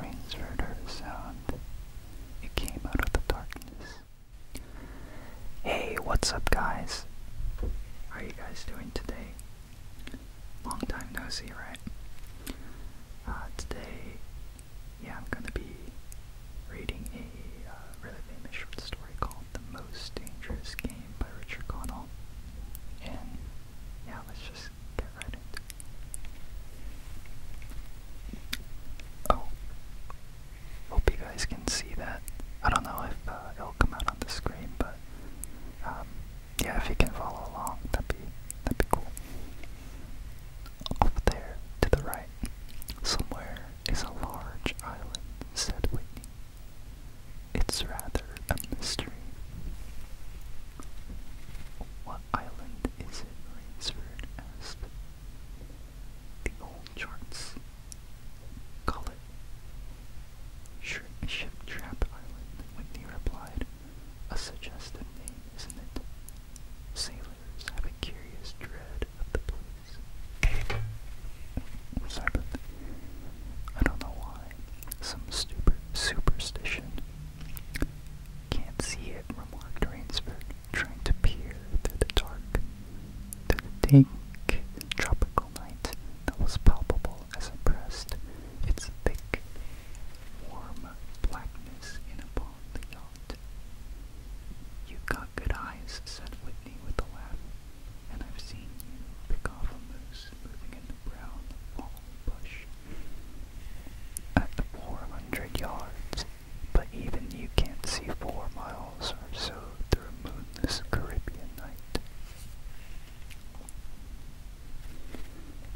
Rainsford heard a sound. It came out of the darkness. Hey, what's up, guys? How are you guys doing today? Long time no see, right? Uh, today, yeah, I'm gonna be reading a uh, really famous short story called The Most Dangerous Game by Richard Connell. And yeah, let's just get right into it. Oh, hope you guys can see that. I don't know if uh, it'll come out on the screen, but um, yeah, if you can follow along, that'd be that'd be cool. Off there to the right, somewhere is a large island," said Whitney. It's rather a mystery. What island is it? Lansford asked. The old charts. Call it. Ship Trap Island, When Whitney replied. A suggested name, isn't it? Sailors have a curious dread of the place. I'm sorry, but I don't know why. Some stupid superstition. Can't see it, remarked Rainsford, trying to peer through the dark, through the thick tropical night that was palpable as it pressed its thick, warm blackness in upon the yacht. You've got good eyes, said Whitney with a laugh, and I've seen you pick off a moose moving in the brown fall at 400 yards, but even you can't see four miles or so through moonless Caribbean night.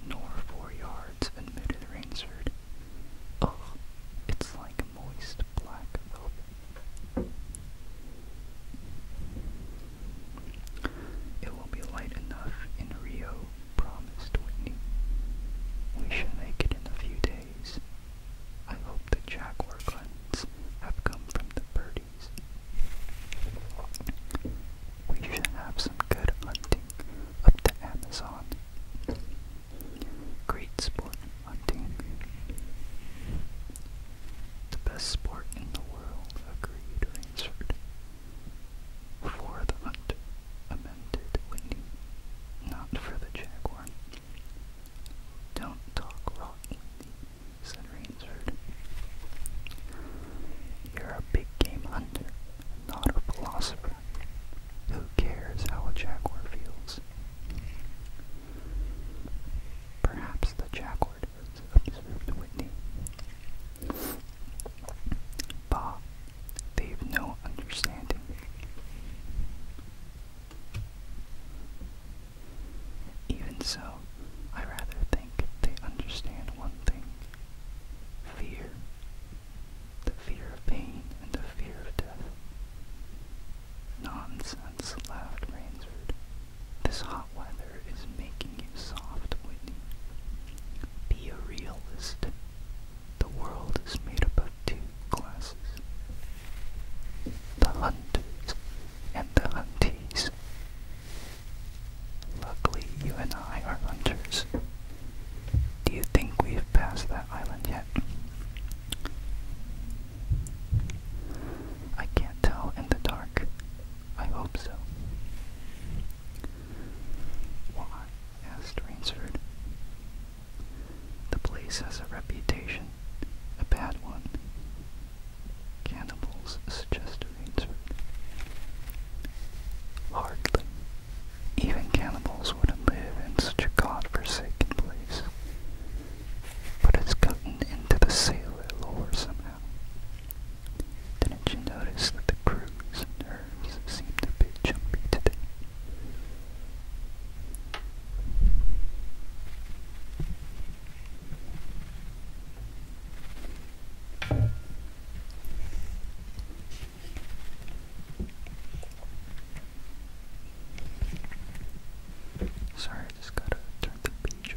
Nor four yards, admitted Rainsford. Ugh, oh, it's like moist black velvet. It will be light enough in Rio Promised Whitney. We shall make it in a few days. I hope the jaguar guns have come from the birdies. We should have some good hunting up the Amazon. Great sport hunting. The best sport in the world, agreed Rainsford. For the hunt, amended waiting, not for the jaguar. Don't talk rot, Wendy, said Rainsford. You're a big game hunter, not a philosopher. Who cares how a jaguar feels? Perhaps the jaguar does, Whitney. Bah, they've no understanding. Even so, I rather think they understand one thing fear. The fear of pain and the fear of death. Nonsense, laughed Rainsford. This hot weather is making you soft, Whitney. Be a realist. The world is made up of two classes the hunters and the huntees. Luckily, you and I are hunters. Do you think we've passed that island yet? I can't tell in the dark. I hope so. Why? asked Rainsford. The place has a reputation, a bad one. Cannibals, suggested Rainsford. Hardly. Even cannibals wouldn't live in such a godforsaken place. But it's gotten into the sailor lore somehow. Didn't you notice that the crews and nerves seems a bit jumpy today. Sorry, I just gotta turn the page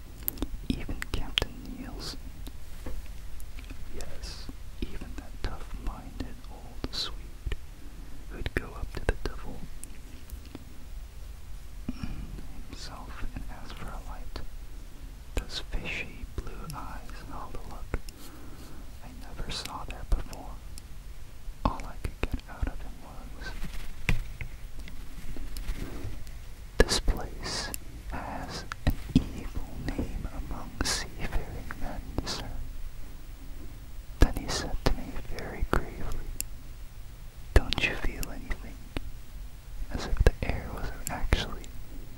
Even Captain Niels. Yes, even that tough-minded old Swede who'd go up to the devil himself and ask for a light. Those fishy blue eyes all the look I never saw there before. All I could get out of him this place has an evil name among seafaring men, sir. Then he said to me very gravely, Don't you feel anything? As if the air was actually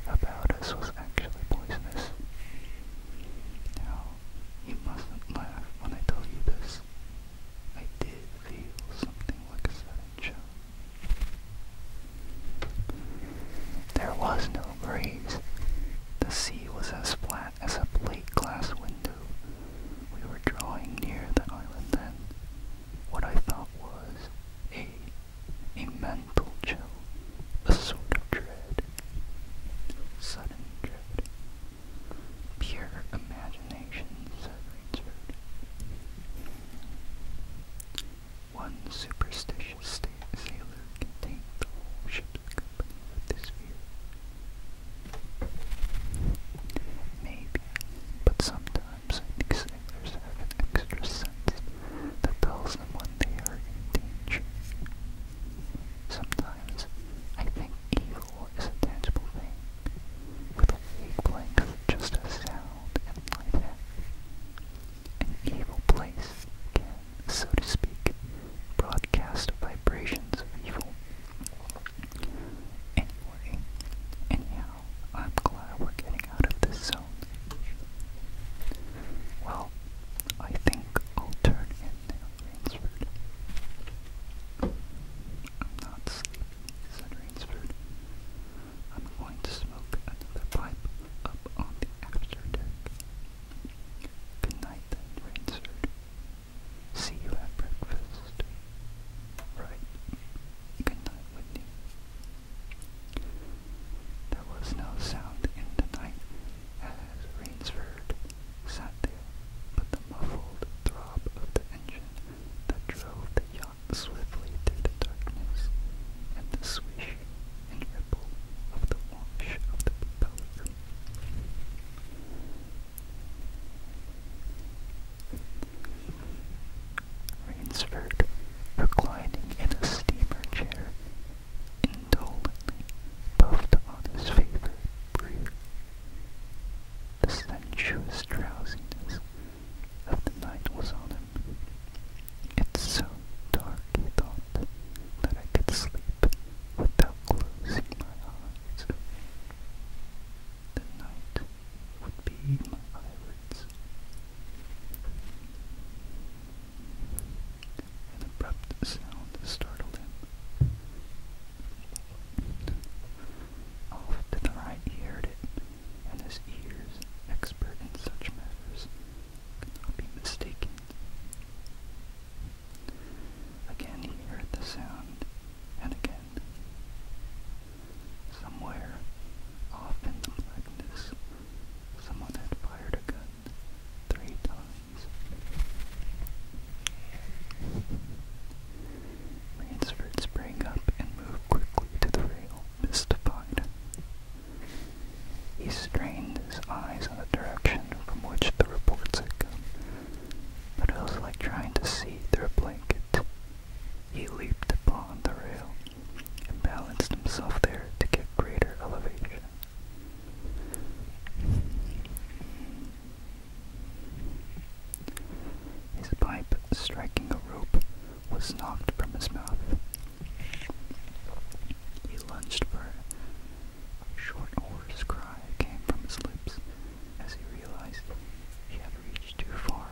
about us was actually poisonous. Now, you mustn't laugh when I tell you this. I did feel something there was no breeze. The sea was as flat as a plate glass window. We were drawing near the island then. What I thought was a a mental chill, a sort of dread, sudden dread. Pure imagination. Rainsford. One superstitious sta sailor contained the whole ship's with this fear. Maybe, but sometimes I think sailors have an extra sense that tells them when they are in danger. Sometimes I think even floor is a tangible thing, with a wavelength just as sound and light have. An evil place can, so to speak, broadcast vibrations of evil. Anyway, anyhow, I'm glad we're getting out of this zone. Well, I think I'll turn in I'm not said Rainsford. I'm going to smoke another pipe up on the after deck. Rainsford. See you at breakfast. Right. Good night, Whitney. There was no sound in the night as Rainsford sat there, but the muffled throb of the engine that drove the yacht swiftly through the darkness and the swish and ripple of the wash of the boat. Rainsford, reclining in a steamer chair, indolently puffed on his favorite brew. The sensuous drowsiness of the night was on him. It's so dark, he thought, that I could sleep without closing my eyes. The night would be my eyelids. An abrupt sound startled him off to the right he heard it, and his ears, expert in such matters, could not be mistaken. Again he heard the sound, and again. Somewhere, off in the blackness, someone had fired a gun three times. Ransford sprang up and moved quickly to the rail, mystified. He strained his eyes in the direction from which the reports had come, but it was like trying to see through a blanket. He leaped upon the rail and balanced himself there to get greater elevation. His pipe, striking a rope, was knocked from his mouth. He lunged for it. A short, hoarse cry came from his lips as he realized he had reached too far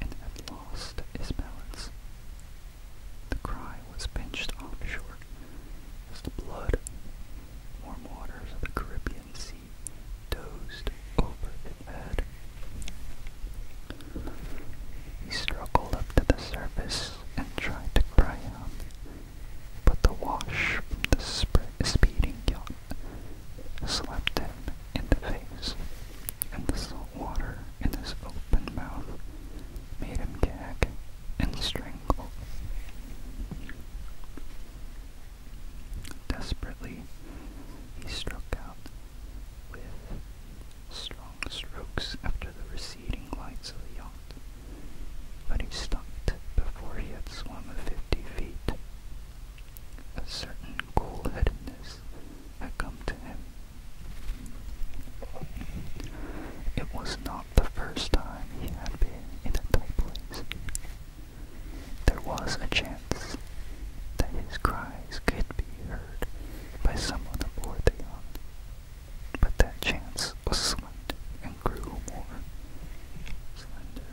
and had lost his balance. The cry was pinched offshore as the blood, warm waters of the Caribbean Sea dozed over his bed. He struggled up to the surface and tried to cry out, but the wash from the speeding yacht slapped him in the face, and the salt water in his open mouth made him gag and strangle. Desperately, he struck out with strong strokes after the receding lights of the yacht, but he stopped before he had swum fifty feet. A certain cool-headedness had come to him. It was not the first time he had been in a tight place. There was a chance that his cries could be heard by someone aboard the yacht, but that chance was slender and grew more slender.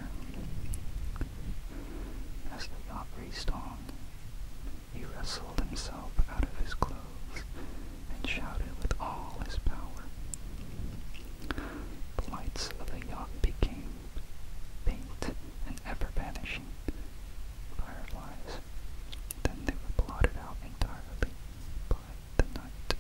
As the yacht raced on, he wrestled himself out of his clothes and shouted with all his power. The lights of the yacht became faint and ever-vanishing fireflies. Then they were blotted out entirely by the night.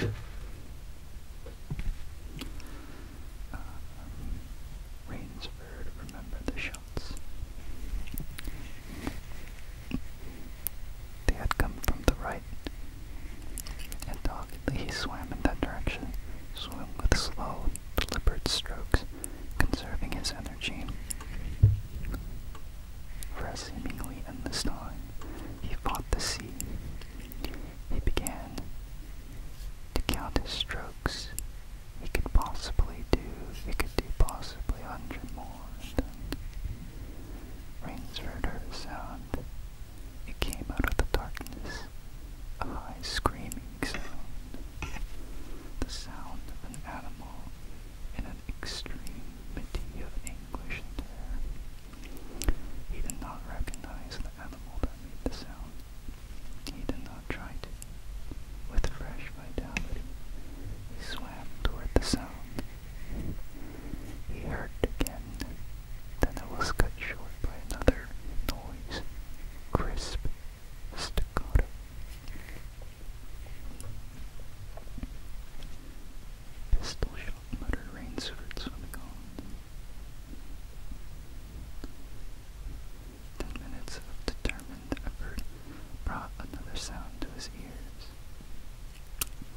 Uh, um, Rainsford, remember the they had come from the right, and doggedly he swam in that direction, swimming with slow, deliberate strokes, conserving his energy. For a seemingly endless time, he fought the sea. He began to count his strokes he could possibly do, he could do possibly a hundred more than Rainsford heard a sound. It came out of the darkness, a high screaming sound, the sound of an animal in an extremity of anguish and terror. He did not recognize the animal that made the sound. He did not try to. With fresh vitality, he swam toward the sound. He heard again, then it was cut short by another noise, crisp, staccato. Pistol shot muttered Rainsford swimming Ten minutes of determined effort brought another sound to his ears,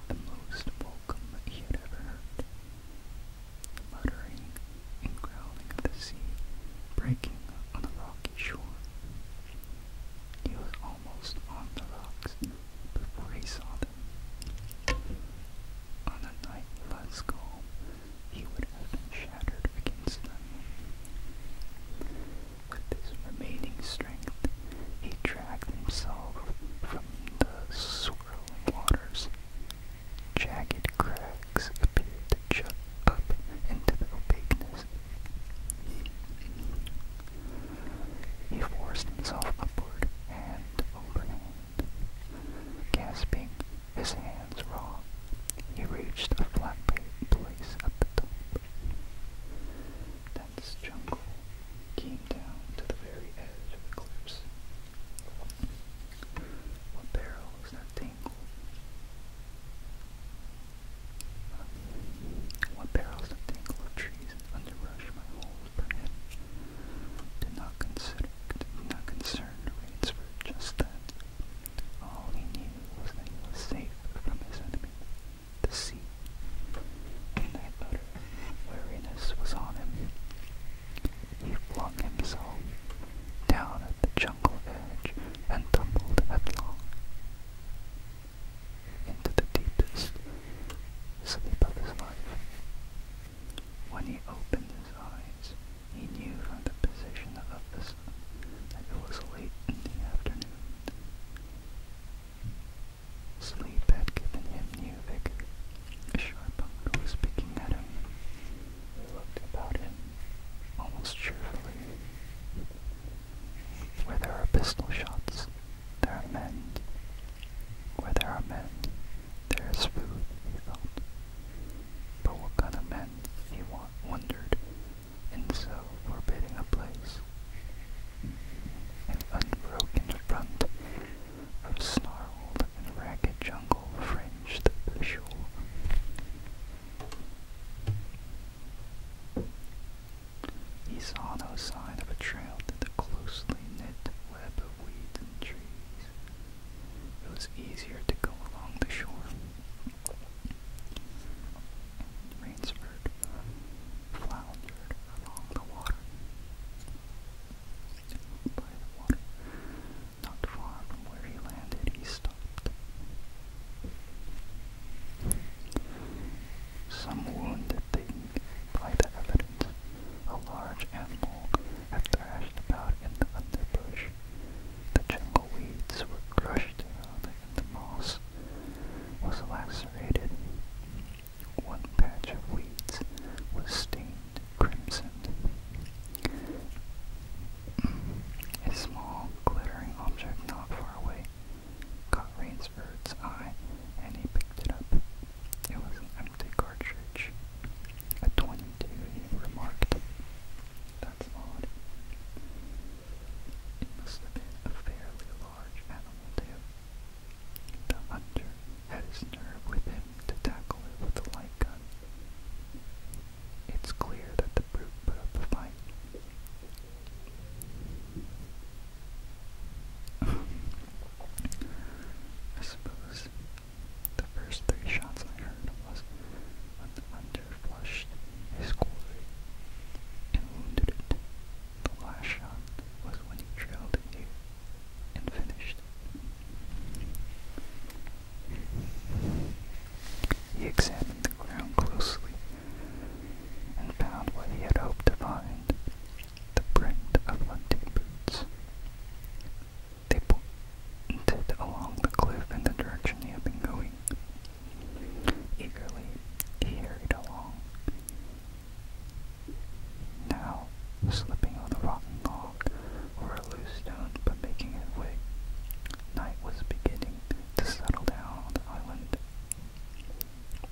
the most welcome he had ever heard. The muttering and growling of the sea breaking on the rocky shore. He was almost on the rocks before he saw them. On a night less calm, he would have been shattered against them. With his remaining strength, he dragged himself from the swirling waters. Jagged cracks appeared to jut up into the opaqueness. He forced himself upward, and over Gasping, his hands raw, he reached a flat place at the top. Dense jungle came down to the very edge of the What barrel that tangle? What barrels the tangle of trees and underbrush my holes permit? Did not consider, did not concern the rains just then. All he knew was that he was safe from his enemy, the sea, and that utter weariness was on him. He flung himself down at the jungle edge and tumbled headlong into the deepest sleep of his life. When he opened his eyes, he knew from the position of the sun that it was late in the afternoon. Sleep had given him new vigor. A sharp hunger was picking at him. He looked about him, almost cheerfully. Where there are pistol shots, there are men. Where there are men, there is food, he thought. But what kind of men, he wondered, and so forbidding a place, an unbroken front of snarled and ragged jungle fringed the shore. He saw no sign of a trail in the closely knit web of weeds and trees. It was easier to go along the shore, Rainsford floundered along the water. By the water, not far from where he landed, he stopped. Some wounded thing, by the evidence, a large animal had thrashed about in the underbrush. The jungle weeds were crushed down in the moss was lacerated. One patch of weeds was stained crimson. A small, glittering object not far away caught Rainsford's eye, and he picked it up. It was an empty cartridge. A 22, he remarked. That's odd. It must have been fairly large animal, too. The hunter had his nerve with him to tackle it with a light gun. It's clear that the brute put up a fight. I suppose the first three shots I heard was when the flushed his quarry and wounded it. The last shot was when he drilled it here and finished He examined the ground closely and found what he had hoped to find, the print of hunting boots. They pointed along the cliff in the direction he had been going. Eagerly he hurried along, now slipping on the rotten log or a loose stone but making it way. Night was beginning to settle down on the island.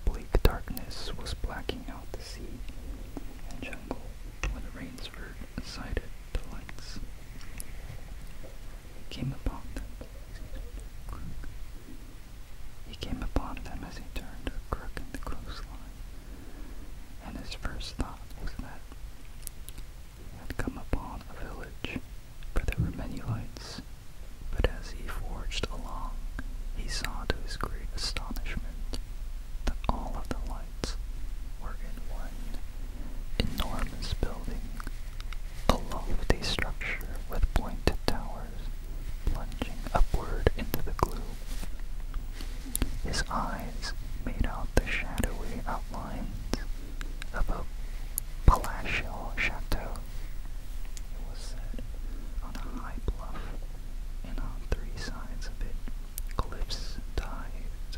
Bleak darkness was blacking out the sea and jungle when Rainsford sighted the lights came upon them. He came upon them as he turned a crook in the coastline, and his first thought was that he had come upon a village, for there were many lights. But as he forged along, he saw to his great astonishment that all of the lights were in one enormous building a lofty structure with pointed towers plunging upward into the gloom. His eyes made out the shadowy outlines of a palatial chateau. It was set on a high bluff, and on three sides of it, cliffs dived.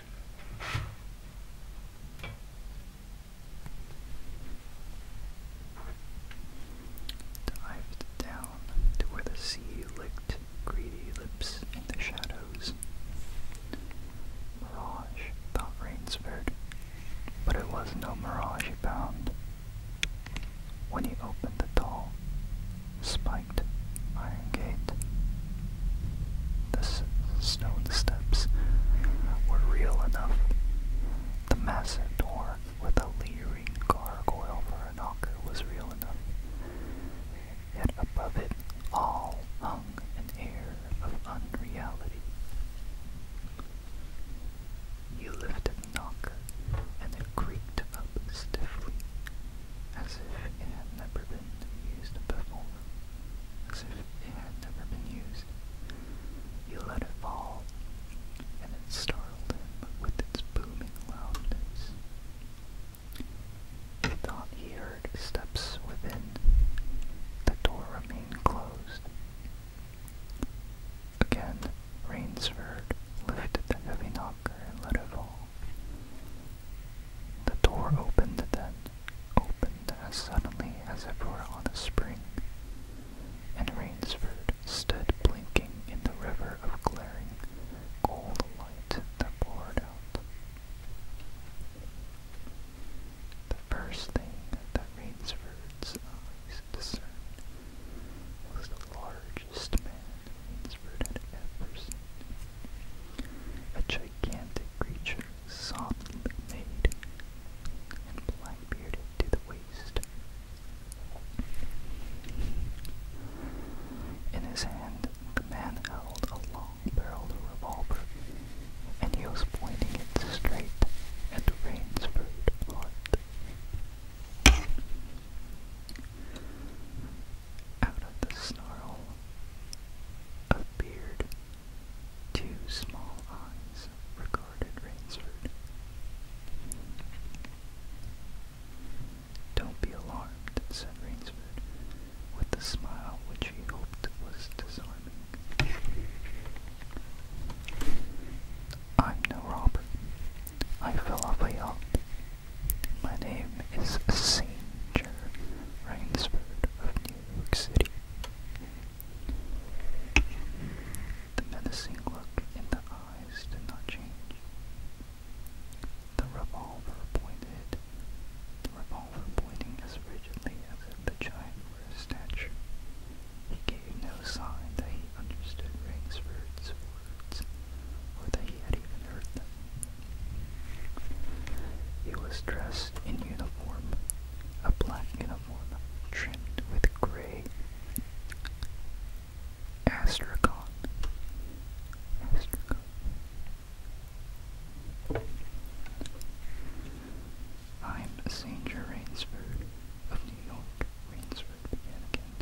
Dived down to where the sea licked greedy lips in the shadows. Mirage, thought Rainsford, but it was no mirage he found. When he opened the tall, spike iron gate. The stone steps were real enough. The massive door with a leering gargoyle for a knocker was real enough. Yet above it all hung an air of unreality. He lifted the knocker, and it creaked up stiffly as if it had never been used before, as if it had never been used. He let it fall, and it startled him with its booming loudness. He thought he heard steps within. The door remained closed. Again, Rainsford lifted the heavy knocker and let it fall. The door opened then, opened as suddenly as if it were on a spring, and Rainsford stood blinking in the river of glaring, gold light that poured out. The first thing that Rainsford's eyes discerned was the largest man Rainsford had ever seen. A gigantic creature flesh softly made, and black bearded to the waist. In his hand, the man held a long-barreled revolver, and he was pointing it straight at Rainsford Hart out of the snarl of beard. Two small eyes regarded Rainsford. Don't be alarmed, said Rainsford, with a smile which he hoped was disarming. I'm no robber. I fell off a yacht. My name is Sanger Rainsford of York City. The menacing look in the eyes did not change. The revolver pointed, the revolver pointing as rigidly as if the giant were a statue. He gave no sign that he understood Rangsford's words, or that he had even heard them. He was dressed in uniform, a black uniform trimmed with gray astrachan. astrachan. I'm Sanger Rainsford of New York, Rainsford began again.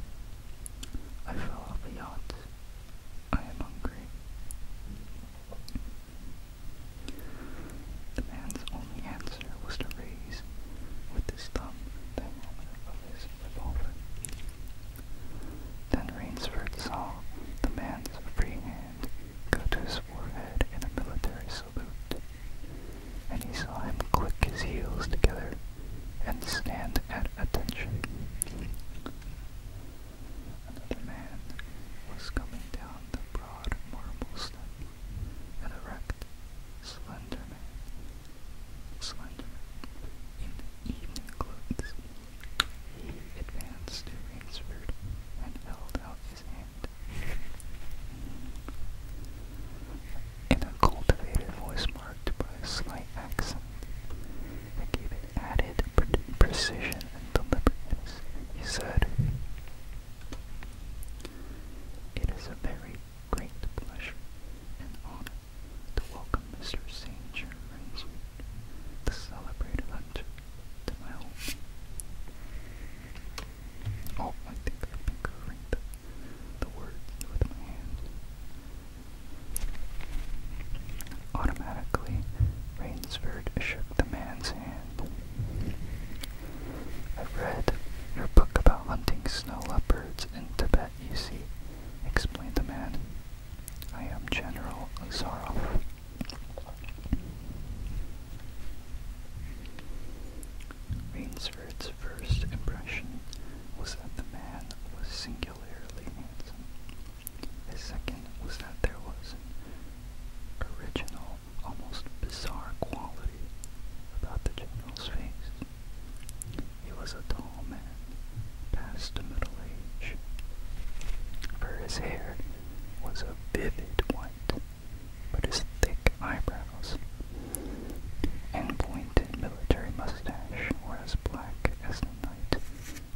I fell off a yacht. I am hungry. The man's only answer was to raise with his thumb the moment of his revolver. Then Rainsford saw the man's free hand go to his forehead in a military salute, and he saw him click his heels together and stand at attention. And The man was coming down the broad marble step, an erect, slender man, slender in evening clothes. He advanced to Rainsford and held out his hand. In a cultivated voice marked by a slight accent that gave added precision and deliberateness. He said, It is a very great pleasure and honor to welcome Mr. St. John Raised, the celebrated hunter, to my home. Oh, I think I've been covering the, words with my hand. Automatically, Rain Ransford shook the man's hand. I've read your book about hunting snow leopards in Tibet, you see, explained the man. I am General Zaroff. Rainsford's first impression was that the man was singularly handsome. The second was that there was an original, almost bizarre quality about the general's face. He was a tall man, past middle age, for his hair was a vivid white, but his thick eyebrows and pointed military mustache were as black as the night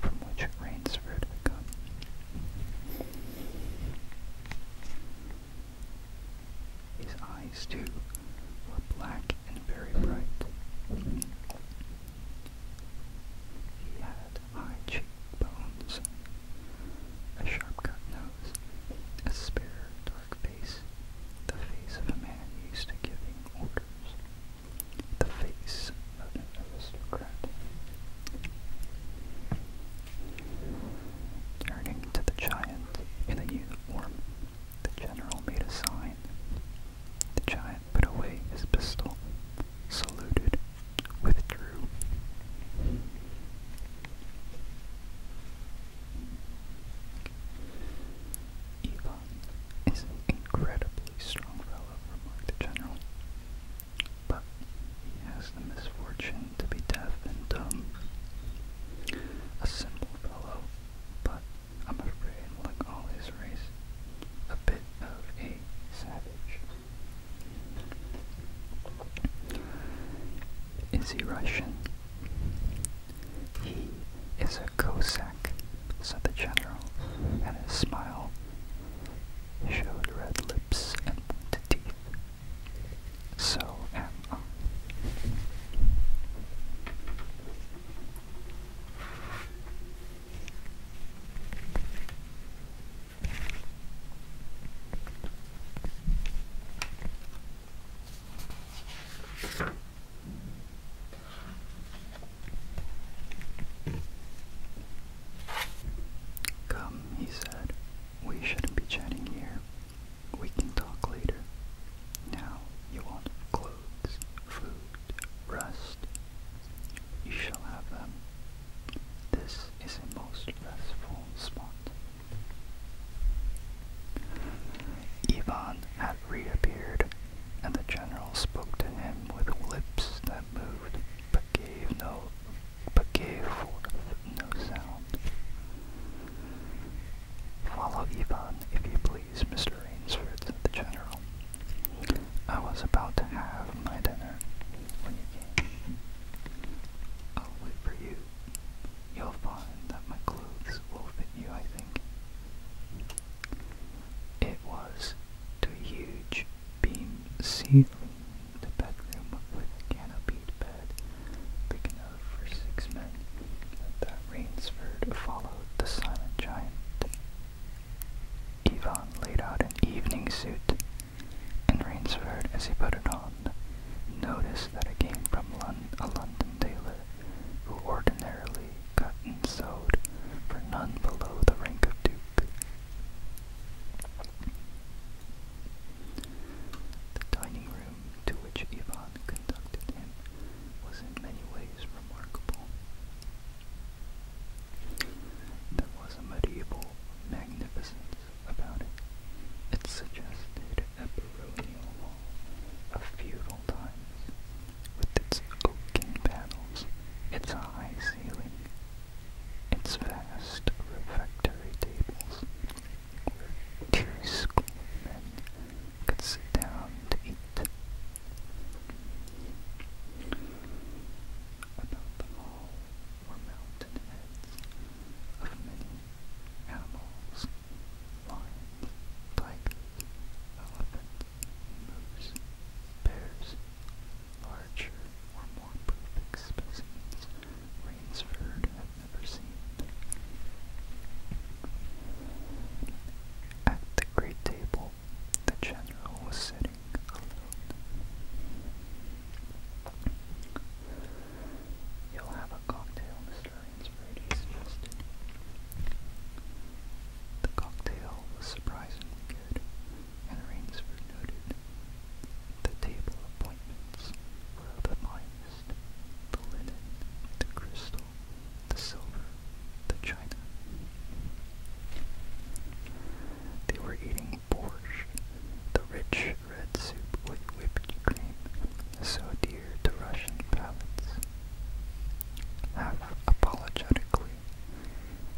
from which Rainsford had come. His eyes, too, were black and very bright. He had high cheekbones, a sharp-cut nose, a spare, dark face, the face of a man used to giving orders, the face of an aristocrat. Turning to the giant in a uniform, the general made a sign. The giant put away his pistol, saluted, withdrew. Ivan is an incredibly strong fellow, remarked the general but he has the misfortune to be deaf and dumb. A simple fellow, but I'm afraid, like all his race, a bit of a savage. Is he Russian? He is a Cossack, said the general, and his smile showed red lips and pointed teeth. So am I. Come, he said, we shouldn't be chatting here. We can talk later. Now you want clothes, food, rest. You shall have them. This is a most restful spot. Ivan had reappeared, and the general spoke to him with lips that moved but gave no but gave forth no sound. Follow Ivan, if you please, Mr. Rainsford, said the general. I was about to have my dinner when you came. I'll wait for you. You'll find that my clothes will fit you, I think. It was to a huge beam seat the bedroom with a canopied bed, big enough for six men, that Rainsford followed the silent giant. Ivan laid out an evening suit, and Rainsford, as he put it on, noticed that it came from Lon a London tailor, who ordinarily cut and sewed for none below the rank of duke. The dining room to which Ivan conducted him was in many ways remarkable. There was a medieval magnificence about it. It suggested a baronial hall of feudal times, with its oaken panels, its high ceiling, its vast refectory tables, where two schoolmen could sit down to eat. About the hall were mountain heads of many animals, lions, tigers, elephants, moose, bears, Larger more perfect specimens Rainsford had never seen. At the great table, the general was sitting alone. You'll have a cocktail, Mr. Rainsford, he suggested. The cocktail was surprisingly good, and Rainsford noted the table appointments were the finest, the linen, the crystal, the silver, the china. They were eating borsch, the rich red soup with whipped cream, so dear to Russian palates. Half apologetically,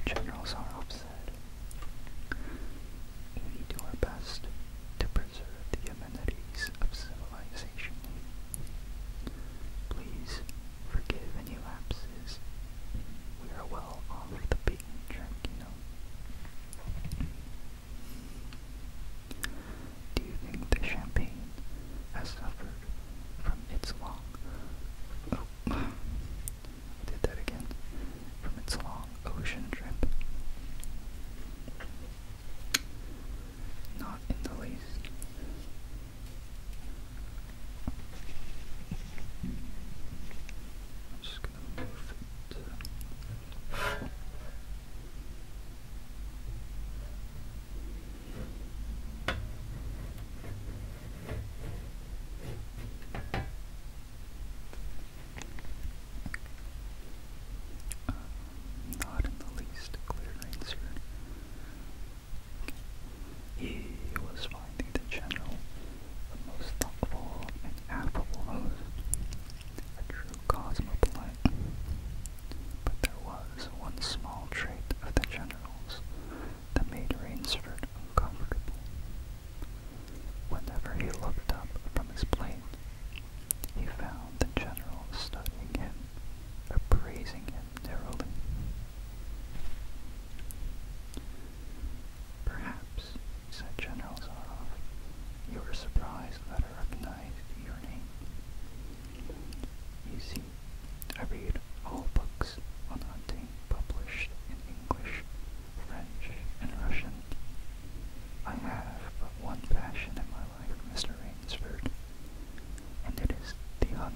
General Zarov's said, we do our best to preserve the amenities of civilization. Please forgive any lapses. We are well off the beaten track, you Do you think the champagne has suffered from its long, I did that again from its long ocean trip. Not in the least. just gonna move it not in the least clear answered. He was finding the general the most thoughtful and affable host, a true cosmopolitan. But there was one small trait of the general's that made Rainsford uncomfortable. Whenever he looked up from his plate, he found the general studying him, appraising him narrowly. Perhaps, said General Zarov, you are surprised that I recognize your name. You see, I read all books on hunting published in English French, and Russian. I have but one passion in my life, Mr. Rainsford, and it is the hunt.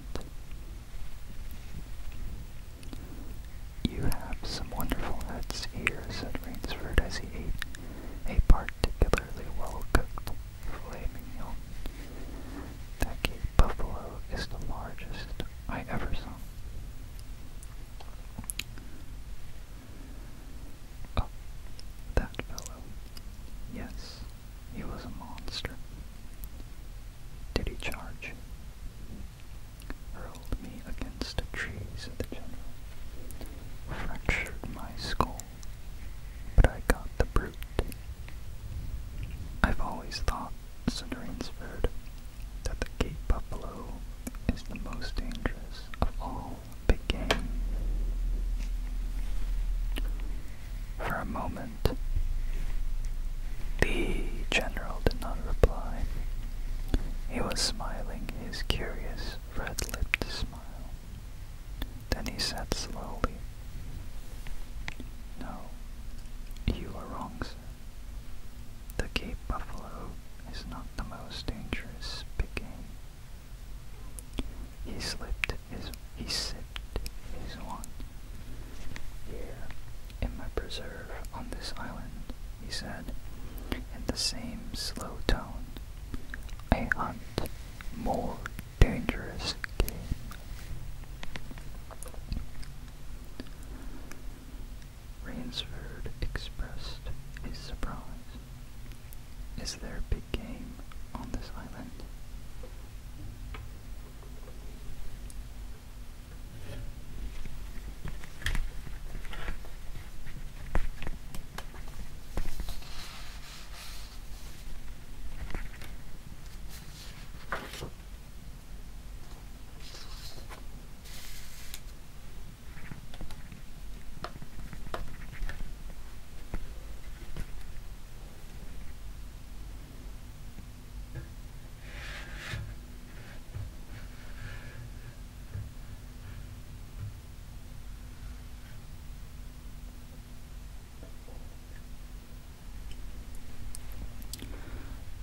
You have some wonderful heads here, said Rainsford as he ate a particularly well-cooked flamingo. That Cape buffalo is the largest I ever saw. Oh, that fellow. Yes, he was a monster. Did he charge? Hurled me against a tree, said the general. Fractured my skull, but I got the brute. I've always thought, said bird that the Cape buffalo is the most dangerous of all big game. For a moment, the general did not reply. He was smiling his curious red-lipped smile. Then he said slowly, No, you are wrong, sir. The Cape buffalo is not the most dangerous game. He slipped his he sipped his wine. Here, in my preserve on this island, he said, in the same slow tone, I hunt more dangerous game. Rainsford expressed his surprise. Is there a big game on this island?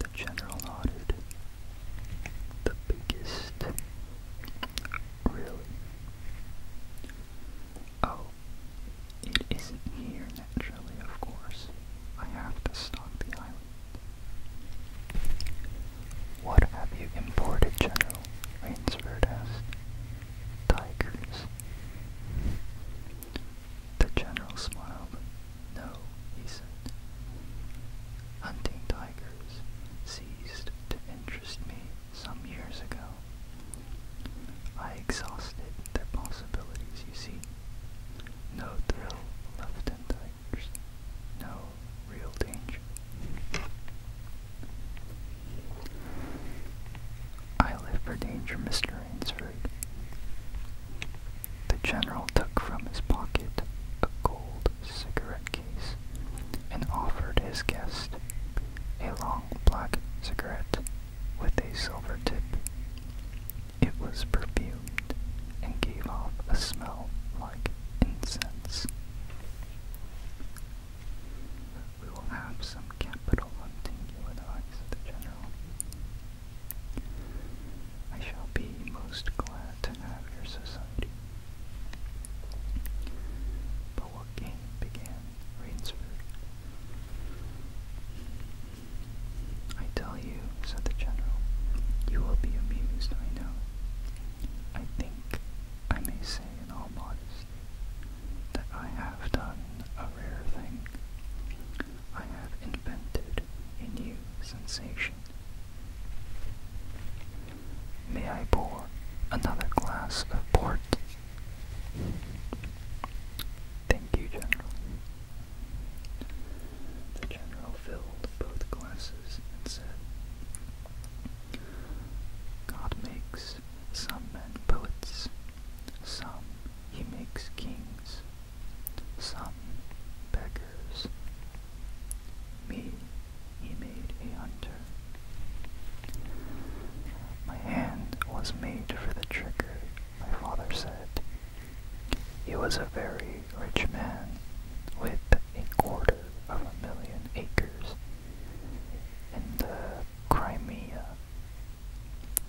The general nodded the biggest, really. Oh, it here naturally, of course. I have to stock the island. What have you imported, General? Rainsford asked. Tigers. The general smiled. No, he said. Hunting tigers ceased to interest me some years ago. I exhausted their possibilities, you see. No thrill left in touch, no real danger. I live for danger, Mr. Ainsford. The general took from his pocket a gold cigarette case and offered his guest a long black cigarette with a silver tip. It was perfumed and gave off a smell like incense. We will have some capital hunting you advise the general. I shall be most glad to have your society. But what game began Rainsford? I tell you, said the general, you will be amused, I know. I think I may say in all modesty that I have done a rare thing. I have invented a new sensation. May I pour another glass of port? Thank you, General. The General filled both glasses and said, God makes some men poets, some he makes kings, some beg me he made a hunter. My hand was made for the trigger, my father said. He was a very rich man with a quarter of a million acres in the Crimea,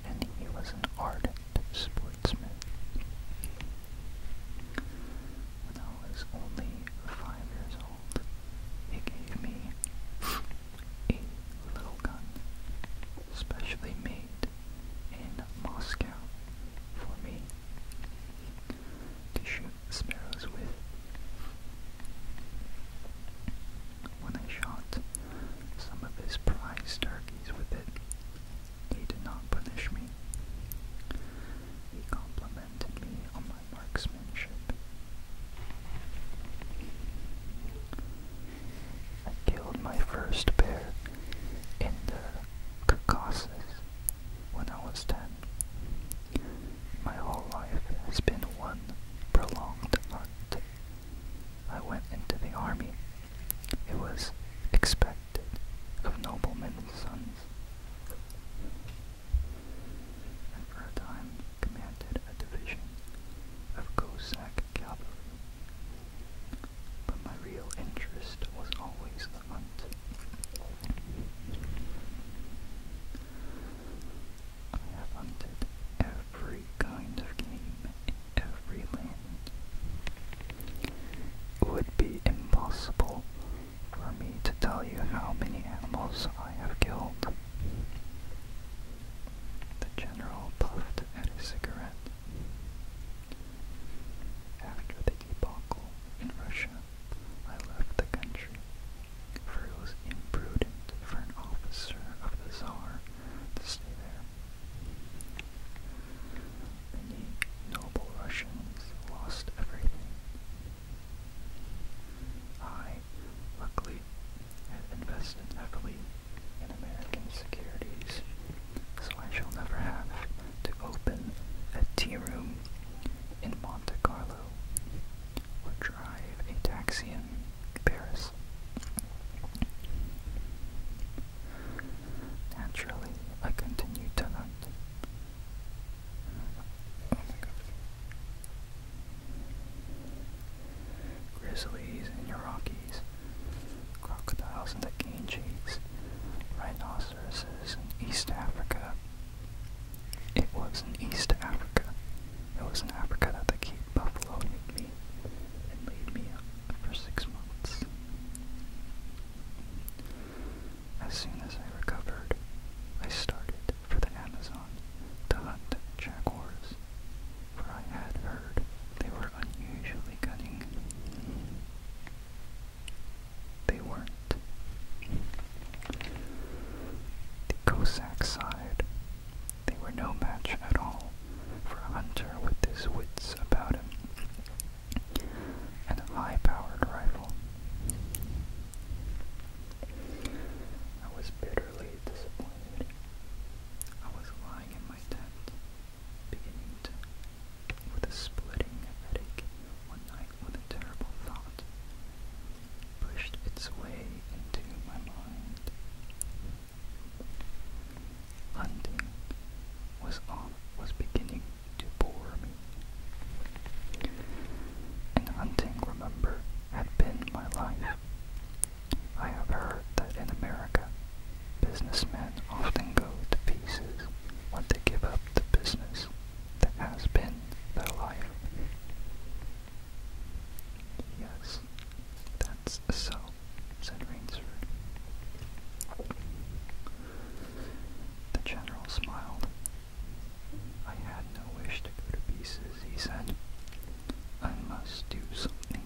and he was an ardent sportsman when I was only five years old, he gave me a little gun, specially made in Moscow for me to shoot sparrows with. When I shot some of his prize turkeys with it, he did not punish me. He complimented on my marksmanship. I killed my first bear in the Caucasus when I was 10. My whole life has been one prolonged hunt. I went into the army. It was expected of noblemen's sons, and for a time commanded a division of Cossack cavalry. But my real interest was always the hunt. I have hunted every kind of game in every land. It would be impossible for me to tell you how many animals I have killed. The general puffed at his cigarette. After the debacle in Russia, I left the country, it was imprudent for an officer of the Tsar to stay there. Many noble Russians lost everything, I, luckily, have invested heavily in American securities, so I shall never have to open a tea room in Monte Carlo or drive a taxi in Paris. Naturally, I continued to hunt, Grizzlies in your Rockies, crocodiles in the Ganges, rhinoceroses in East Africa. It was in East Africa. It was in Africa that they Cape buffalo made me and laid me up for six months. As soon as I recovered, I started for the Amazon to hunt jaguars, for I had heard they were unusually cunning. They weren't. The Cossack side, they were no match at all for a hunter with his wits about him and high-powered rifle. I was bitterly disappointed. I was lying in my tent, beginning with a splitting headache one night when a thought pushed its way into my mind. Hunting was on was beginning to bore me. And hunting, remember, had been my life. I have heard that in America, businessmen often go to pieces when they give up the business that has been their life. Yes, that's so, said Rainsford. The general smiled I had no wish to go to pieces, he said. I must do something.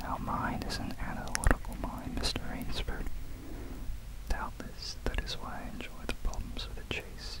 Now mine is an analytical mind, Mr. Rainsford. Doubtless that is why I enjoy the problems of the chase.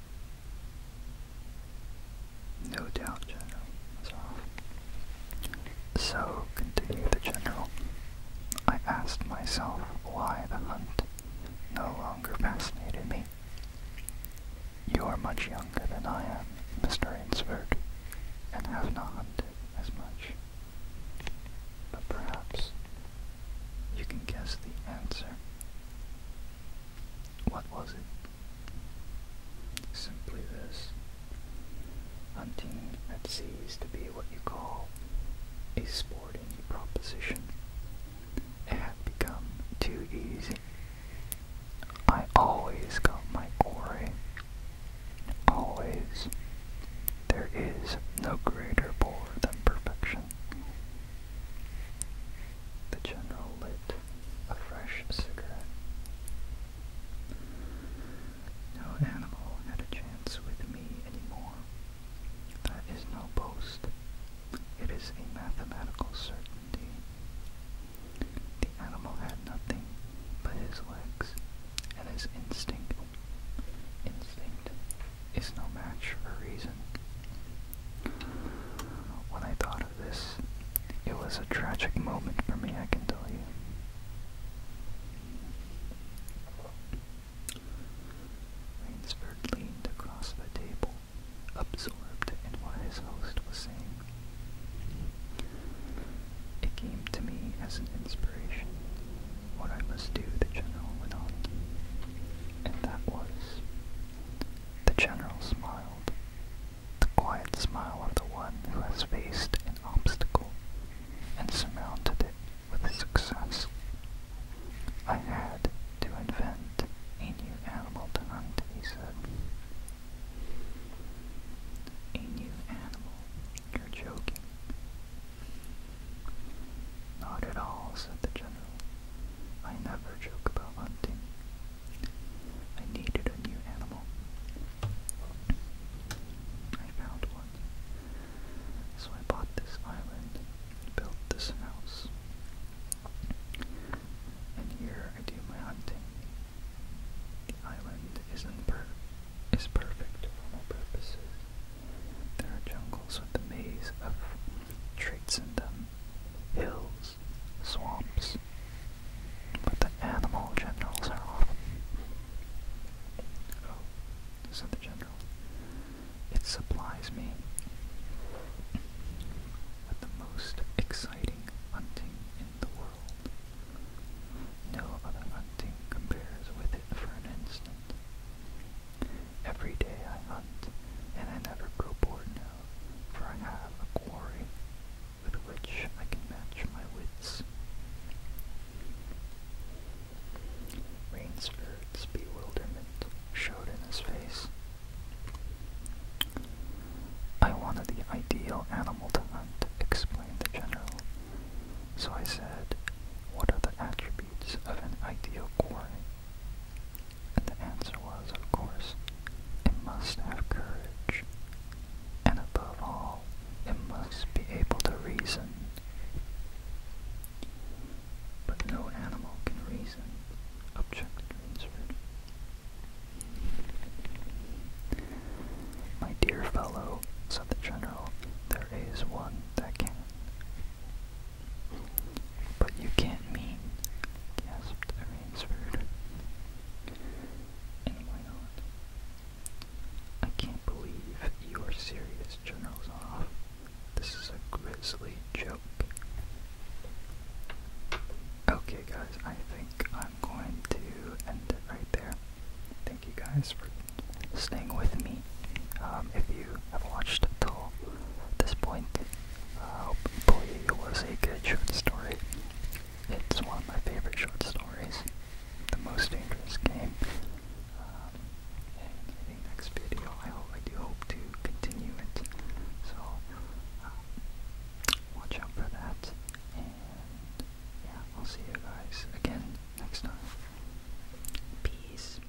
No doubt general So, continued the general, I asked myself why the hunt no longer fascinated me. You are much younger than I am, Mr. Ainsford, and have not hunted as much. But perhaps you can guess the answer. What was it? Simply this. Hunting at sea is to be what you call a sporting proposition. It had become too easy. I always got my quarry. Always. There is no greater bore than perfection. The general lit a fresh cigarette. No animal had a chance with me anymore. That is no boast. It is a mathematical certainty. The animal had nothing but his legs and his instinct. Instinct is no match for reason. When I thought of this, it was a tragic moment for me, I can tell you. Rainsford leaned across the table, absorbed in what his host was saying. It came to me as an inspiration, what I must do, the general went on. And that was the general smiled, the quiet smile of the one who has faced an obstacle and surmounted it with success. I had to invent a new animal to hunt, he said. A new animal? You're joking. Not at all, said the general. I never joke about hunting. I needed a new animal. I found one. So I bought this island, and built this house. And here I do my hunting. The island isn't per is perfect for my purposes. There are jungles with the maze of traits in them hills, swamps, but the animal generals are off. Oh, said the general, it supplies me with the most exciting hunting in the world. No other hunting compares with it for an instant. Every day I hunt, and I never grow bored for I have a quarry with which I can match my wits. Rainsford's bewilderment showed in his face. I wanted the ideal animal to hunt, explained the general. So I said, what are the attributes of an ideal quarry? And the answer was, of course, it must have courage. And above all, it must be able to reason. But no animal can reason, objected Rainsford. My dear fellow, said the general, there is one that can. But you can't mean, gasped Ransford. And why I can't believe you are serious, General Zonoff. This is a grisly joke. Okay, guys, I think I'm going to end it right there. Thank you guys for staying with me. Um, if you have watched until this point, I hope Uh, it was a good short story. It's one of my favorite short stories. The most dangerous game. Um, and the next video, I hope I do hope to continue it. So uh, watch for that. And yeah, I'll see you guys again next time. Peace.